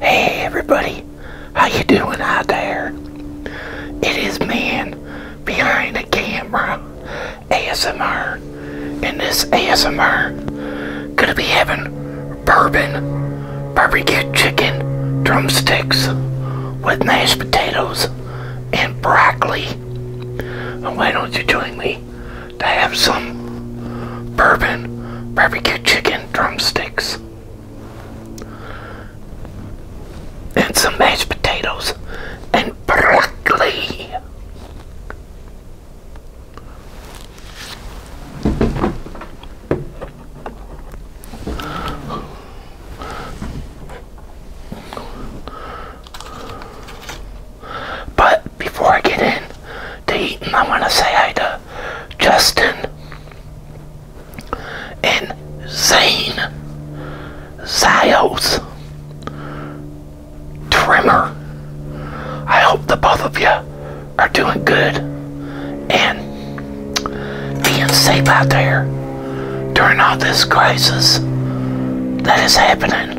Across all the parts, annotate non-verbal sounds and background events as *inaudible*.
Hey everybody, how you doing out there? It is man behind the camera ASMR, and this ASMR gonna be having bourbon, barbecue chicken, drumsticks with mashed potatoes and broccoli. why don't you join me to have some bourbon barbecue chicken drumsticks and some mashed potatoes and broccoli. But before I get in to eat, and I want to say hi to Justin and Zane Zios Trimmer. I hope that both of you are doing good and being safe out there during all this crisis that is happening.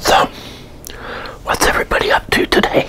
So, what's everybody up to today?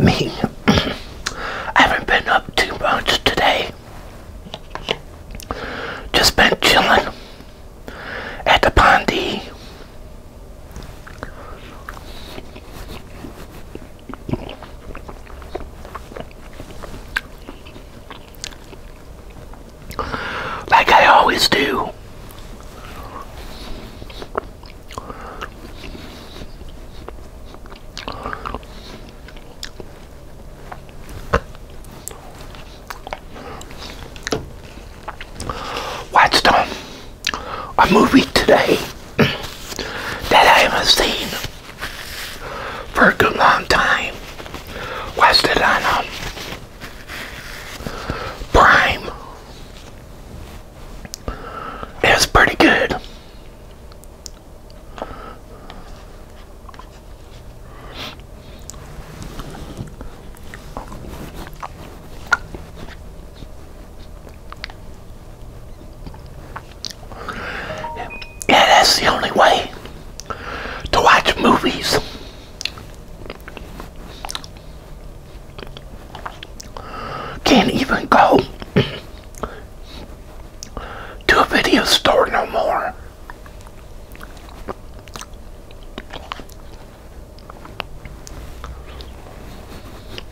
Me, I haven't been up too much today. Just been chilling at the Pondy. Like I always do. Watch them a movie today that I haven't seen for a good long time. West on um, Prime. It was pretty good. Yeah, that's the only way to watch movies. Can't even go *clears throat* to a video store no more.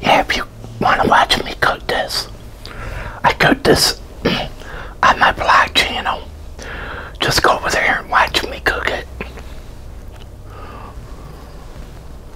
Yeah, if want to watch me cook this, I cook this *clears throat* on my blog channel. Just go over there and watch me cook it.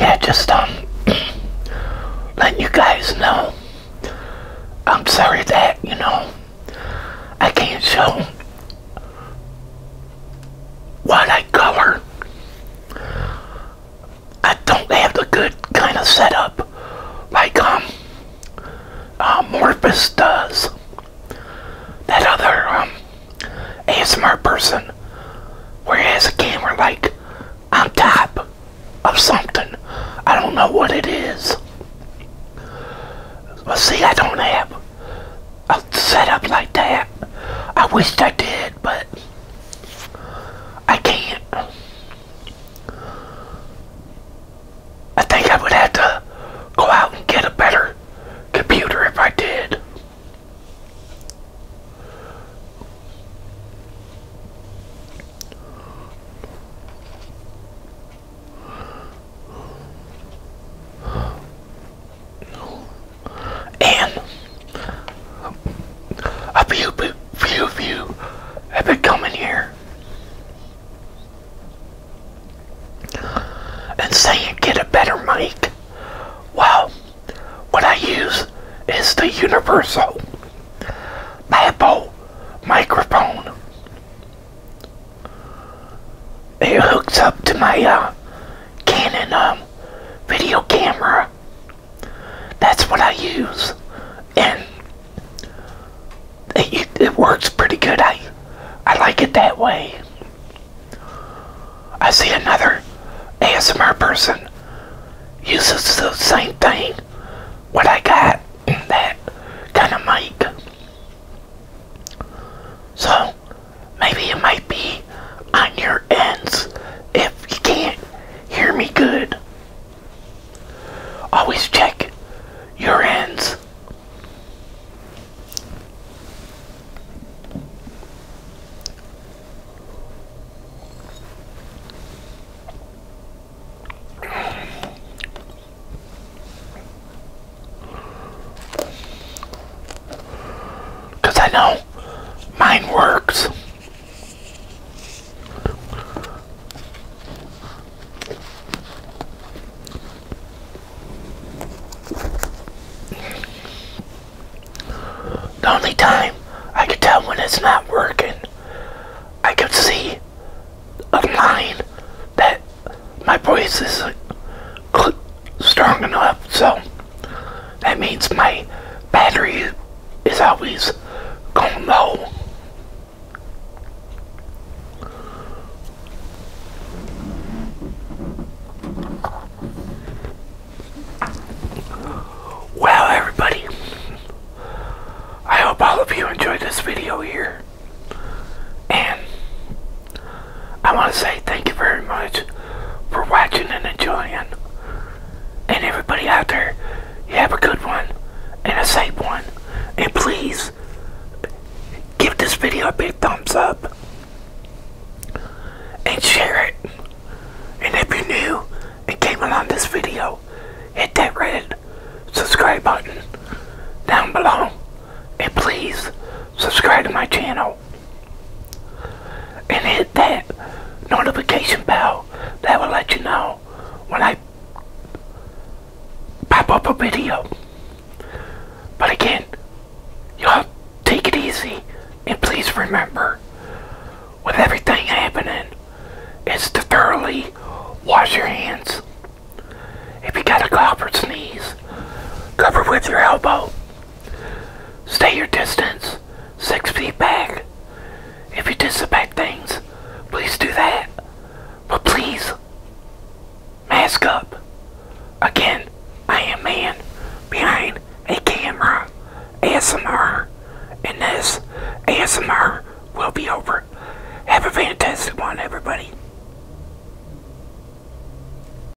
Yeah, just um, *clears throat* letting you guys know. I'm sorry that you know I can't show what I color I don't have the good kind of setup like um, uh, Morpheus does. That other um, ASMR person where it has a camera like on top of something. I don't know what it is. But see, I don't have a setup like that. I wish I did but I can't. I think I would have to go out and get a better computer if I did and a few few of have been coming here and saying get a better mic. Well, what I use is the universal Apple microphone. It hooks up to my uh, Canon um, video camera. That's what I use, and it, it works pretty good. I I like it that way. I see another ASMR person uses the same thing. What I got that kind of mic. So Maybe it might be on your ends if you can't hear me good. Always check your ends. Because I know mine works. The only time I can tell when it's not working, I can see a line that my voice is strong enough, so that means my battery is always going low. Well, everybody, I hope all of you enjoyed this video here, and I want to say thank you very much for watching and enjoying. And everybody out there, you have a good one and a safe one. And please give this video a big thumbs up and share it. And if you're new and came along this video, hit that red subscribe button down below. And please subscribe to my channel and hit that notification bell that will let you know when I pop up a video. But again, y'all take it easy and please remember with everything happening it's to thoroughly wash your hands. If you got a cough or sneeze, cover with your elbow. Stay your distance, six feet back. If you disinfect things, please do that. But please, mask up. Again, I am man behind a camera. ASMR. And this ASMR will be over. Have a fantastic one, everybody.